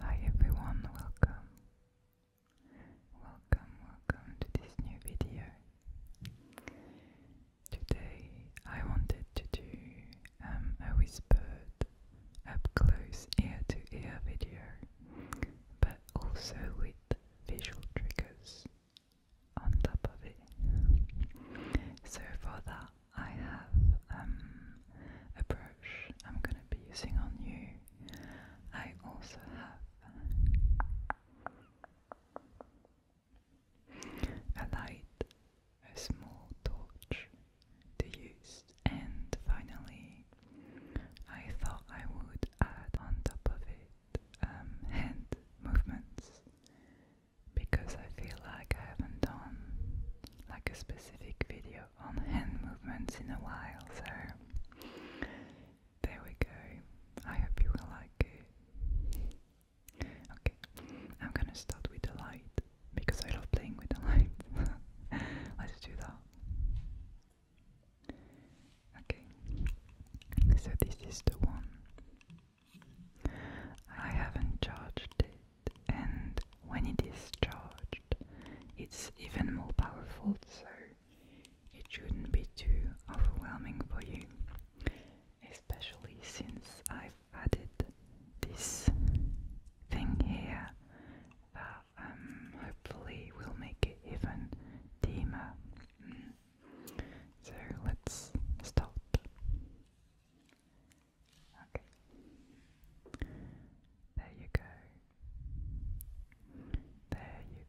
Hi everyone, welcome. Welcome, welcome to this new video. Today I wanted to do um, a whispered up close ear to ear video, but also with visual triggers on top of it. So for that, I have um, a brush I'm going to be using on you. I also have a light, a small torch to use, and finally, I thought I would add on top of it um, hand movements because I feel like I haven't done like a specific video on hand movements in a while, so there we go. I hope you will like it. Okay, I'm gonna start with the light because I love playing with the light. Let's do that. Okay, so this is the one. I haven't charged it, and when it is charged, it's even more powerful, so it shouldn't be too overwhelming for you, especially since I've added this thing here that um, hopefully will make it even dimmer. So let's start. Okay. There you go. There you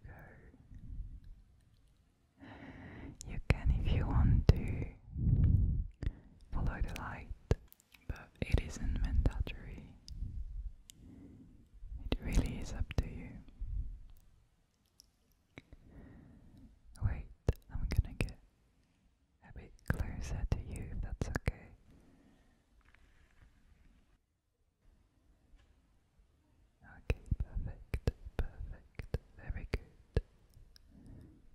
go. You can, if you want to, follow the light, but it isn't mandatory. It really is up to you. Wait, I'm gonna get a bit closer to you that's okay. Okay, perfect, perfect, very good.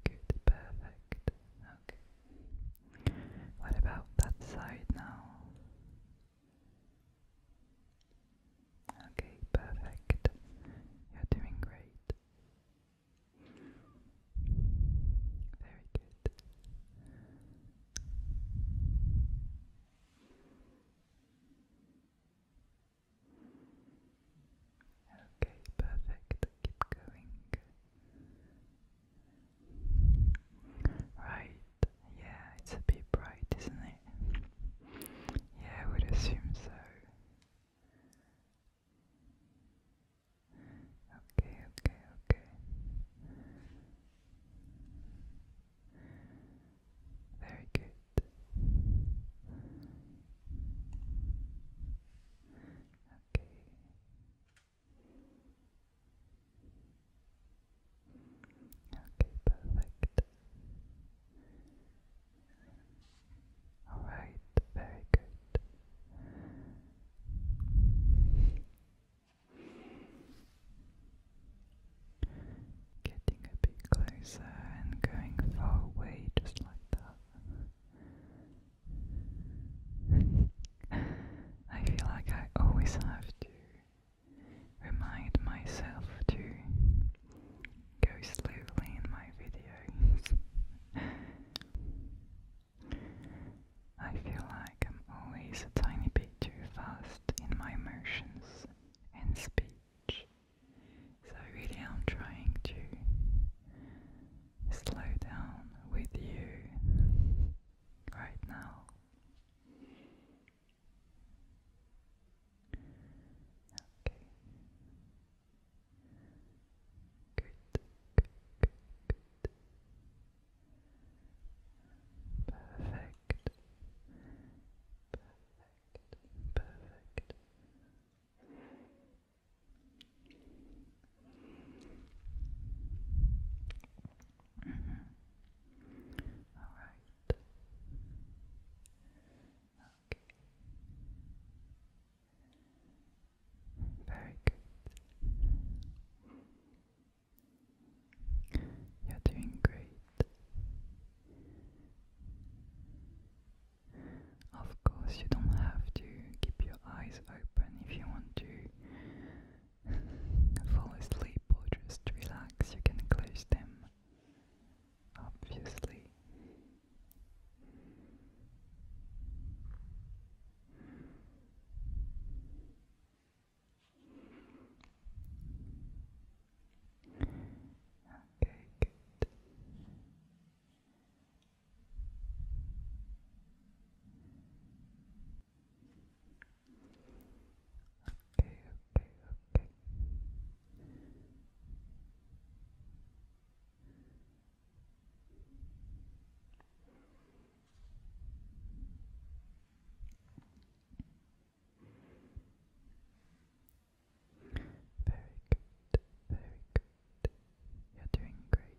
Good, perfect. Okay. What about that side now? Okay, perfect. You're doing great. Very good. Okay, perfect. Keep going. Right, yeah, it's a bit bright, isn't it? Yeah, I would assume so. Okay, okay, okay. Very good. Okay. Okay, perfect. Alright, very good. Getting a bit closer and going far away just like that. I feel like I always have to remind myself to go slowly in my videos. I feel like I'm always a tiny bit too fast in my emotions and speech, so really I'm trying to slow down with you right now. Okay. Good, good, good, Perfect. Perfect. Perfect. Mm All right. Very good. You're doing great. Of course, you don't have to keep your eyes open if you want to fall asleep or just relax, you can close them, obviously. Okay, good. Okay, okay, okay. Very good, very good. You're doing great.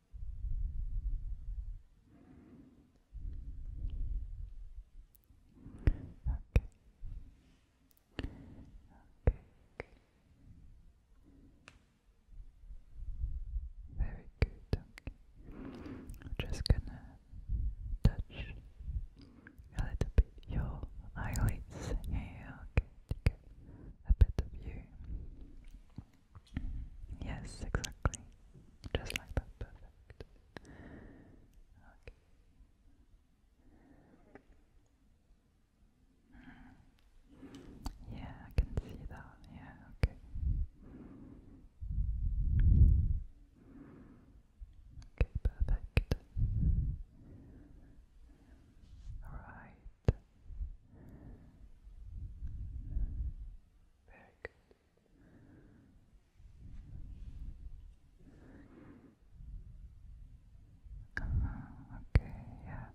okay. Very good. I'm just gonna touch a little bit your eyelids. Yeah, okay, a bit of you. Yes, exactly. Just like that, perfect. Yeah, I can see that. Yeah, okay. Okay, perfect. All right. Very uh, okay, yeah.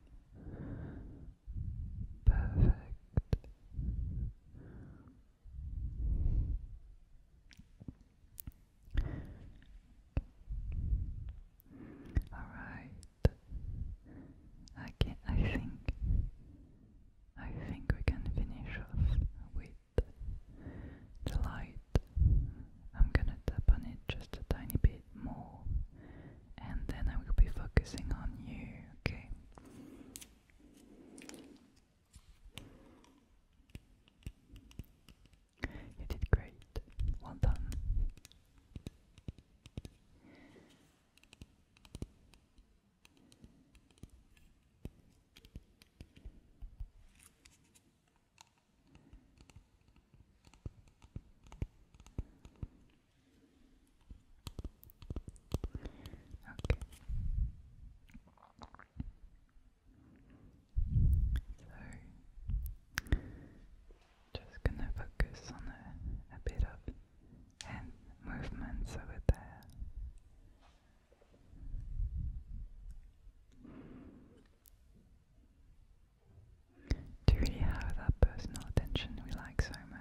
Perfect. All right. I can I think I think we can finish off with the light. I'm gonna tap on it just a tiny bit more and then I will be focusing on you, okay? You did great. Well done. So just gonna focus on a bit of and movements over there. Do you have that personal attention we like so much?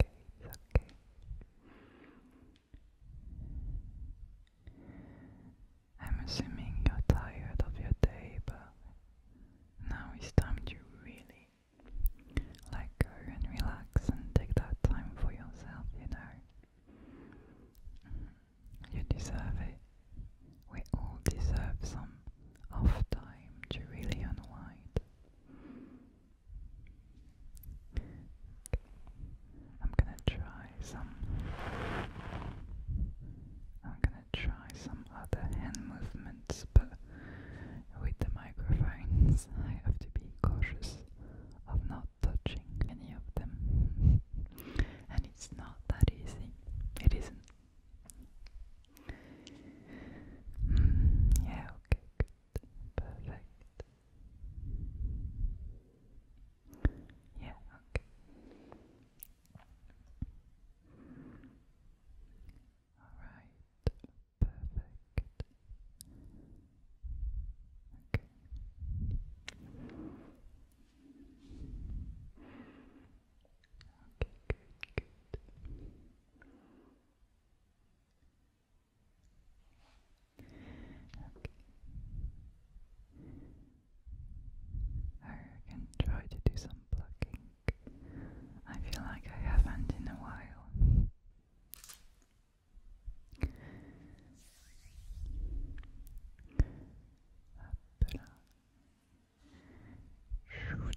okay, it's okay. I'm assuming you're tired of your day, but now it's time to really let go and relax and take that time for yourself, you know. Mm-hmm. You deserve it. We all deserve some off time to really unwind. I'm gonna try some. I'm gonna try some other hand movements, but with the microphones, I have to be cautious of not touching any of them. and it's not that easy. It isn't. Mm, yeah, okay, perfect. Yeah, okay. Alright, perfect. Okay. Okay, good, good. I can try to do some plucking. I feel like I haven't in a while. Shoot.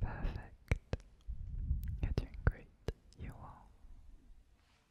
Perfect. you great. You are.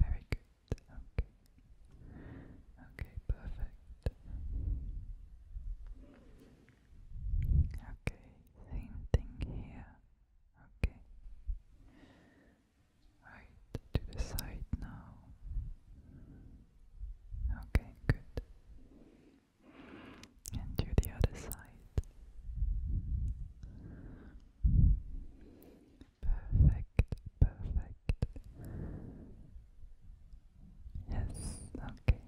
Very good. Okay. Okay, perfect. Okay, same thing here. Okay. Right to the side now. Okay, good. And do the other side. Perfect, perfect. Yes, okay.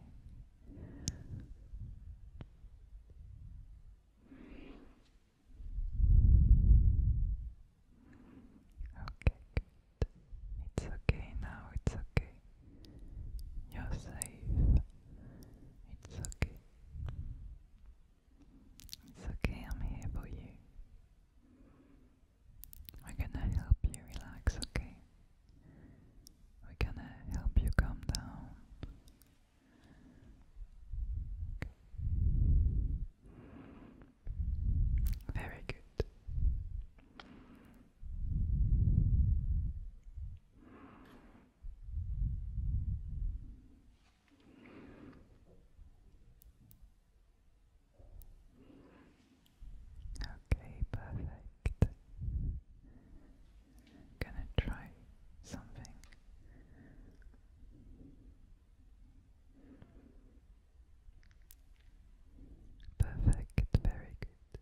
Okay, it's okay now, it's okay. You're safe. It's okay. It's okay, I'm here for you. We're gonna help you relax, okay? We're gonna help you calm down. Very good. Okay, perfect. gonna try something. Perfect, very good.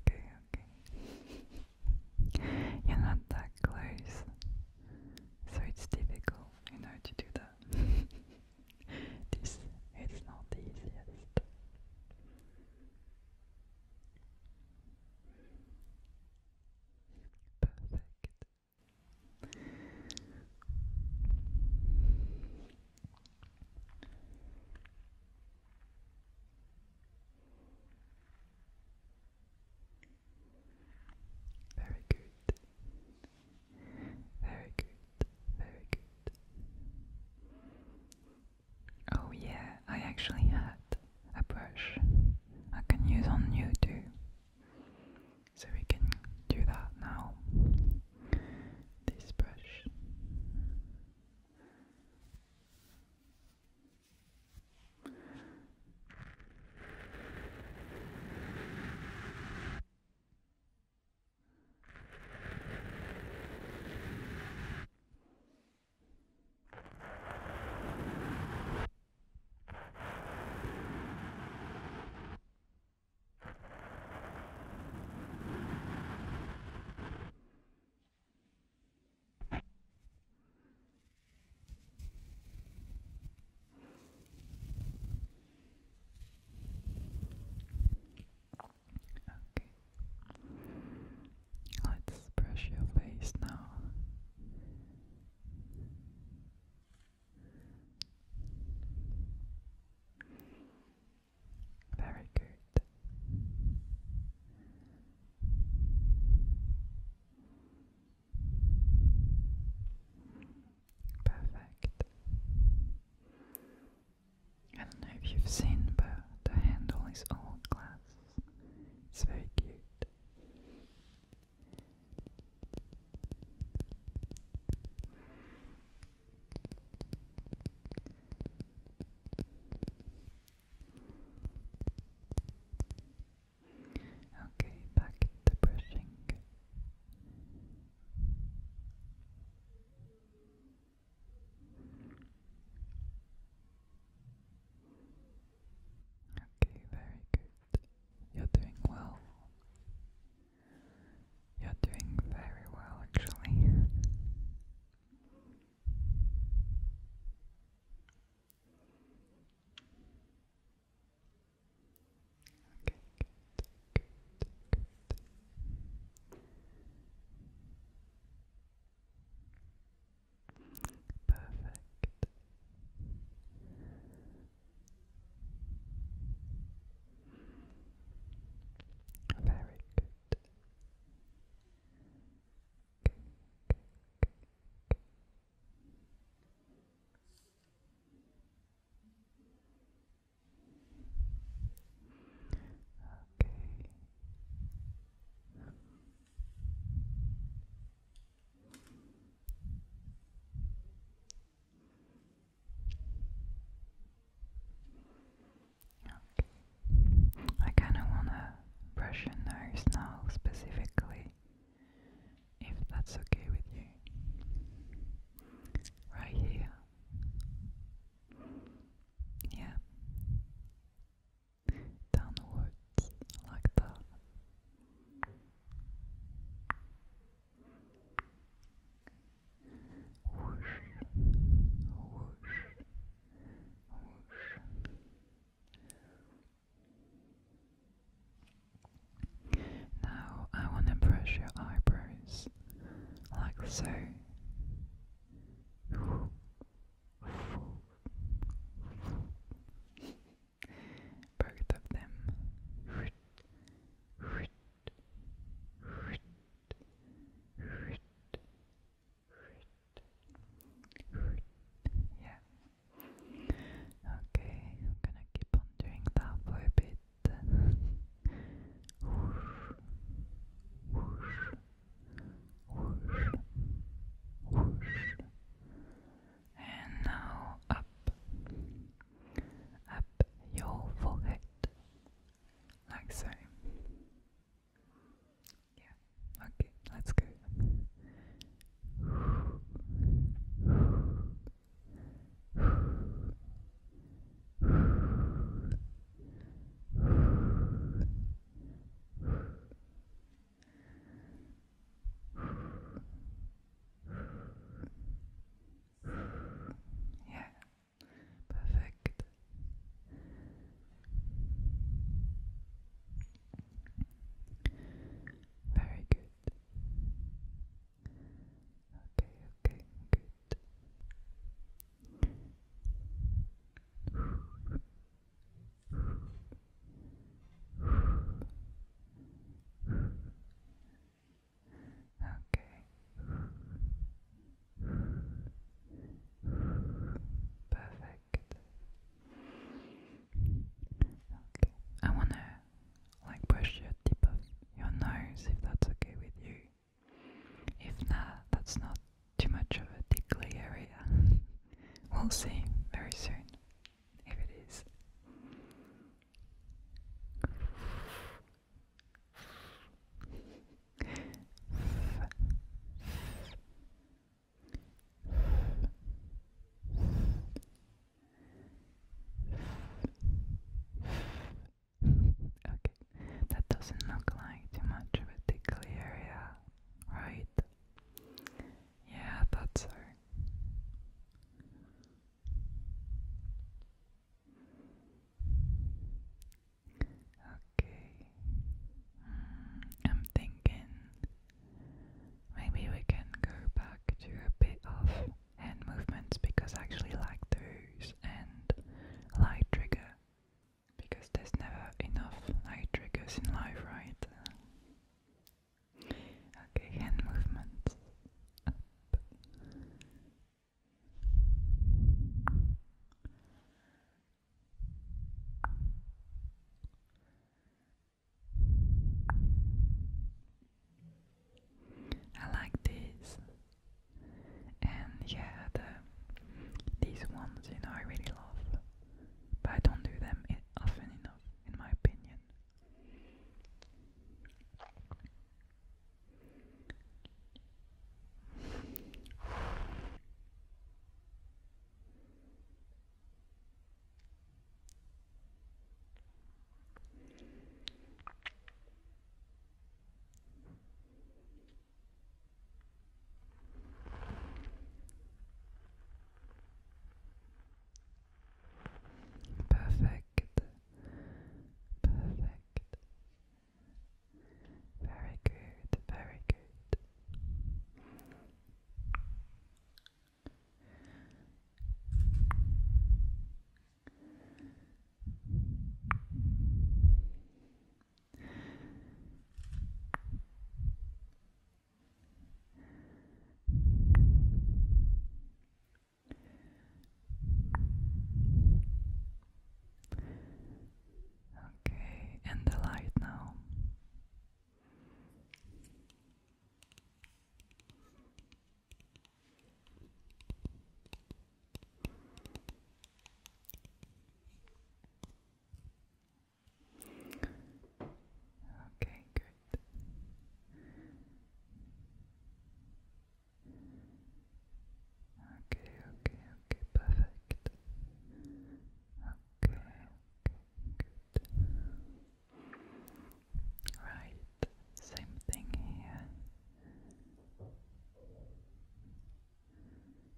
Okay, okay. You're not that close, so it's difficult, you know, to do that. this it's not the easiest. Perfect. Very good. Very good. Very good. Oh, yeah, I actually had a brush I can use on you too. So we can do that now. This brush. Okay. Let's brush your face now. Very good. Perfect. I don't know if you've seen, but the handle is all glass. It's very cute. Okay, back to brushing. Okay, very good. You're doing well. You're doing very well, actually. Okay, good, good, good. Perfect. Very good. Okay. I kind of want to brush your nose now specifically, if that's okay with you. Right here. Yeah downwards like that. Whoosh, whoosh, whoosh. Now I want to brush your eyebrows like so. Both of them. Yeah. Okay, I'm gonna keep on doing that for a bit whoosh, whoosh, and now up, up your forehead, like so. Yeah, okay, let's go. Yeah, perfect. Very good. Okay, okay, good. Perfect. Okay. I wanna like brush your tip of your nose if that's okay with you. If not, that's not too much of a tickly area. we'll see very soon if it is. okay, that doesn't look like too much of a tickly area, right? Yeah, I thought so. Okay. Hmm, I'm thinking maybe we can go back to a bit of hand movements because I actually like those and light trigger because there's never enough light triggers in life, right? Okay, hand movements I like these, and yeah, these ones, you know, I really love but I don't do them often enough, in my opinion. Perfect. Perfect. Very good. Very good. Okay, and the light now. Okay, good. Okay, okay, okay, perfect. Okay, good. Right, same thing here.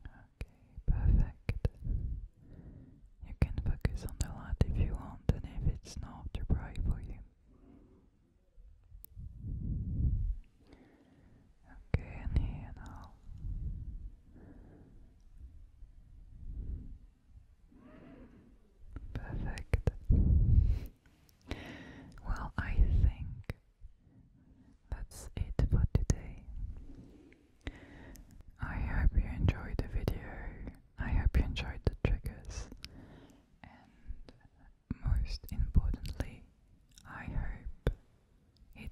Okay, perfect. You can focus on the light if you want, and if it's not too bright for you. Okay, and here now. Perfect. Well, I think that's it for today. I hope you enjoyed the video. I hope you enjoyed the triggers. And most importantly, I hope it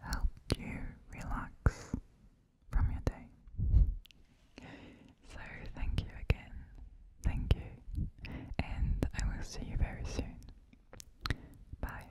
helped you relax from your day. So, thank you again. Thank you. And I will see you very soon. Bye.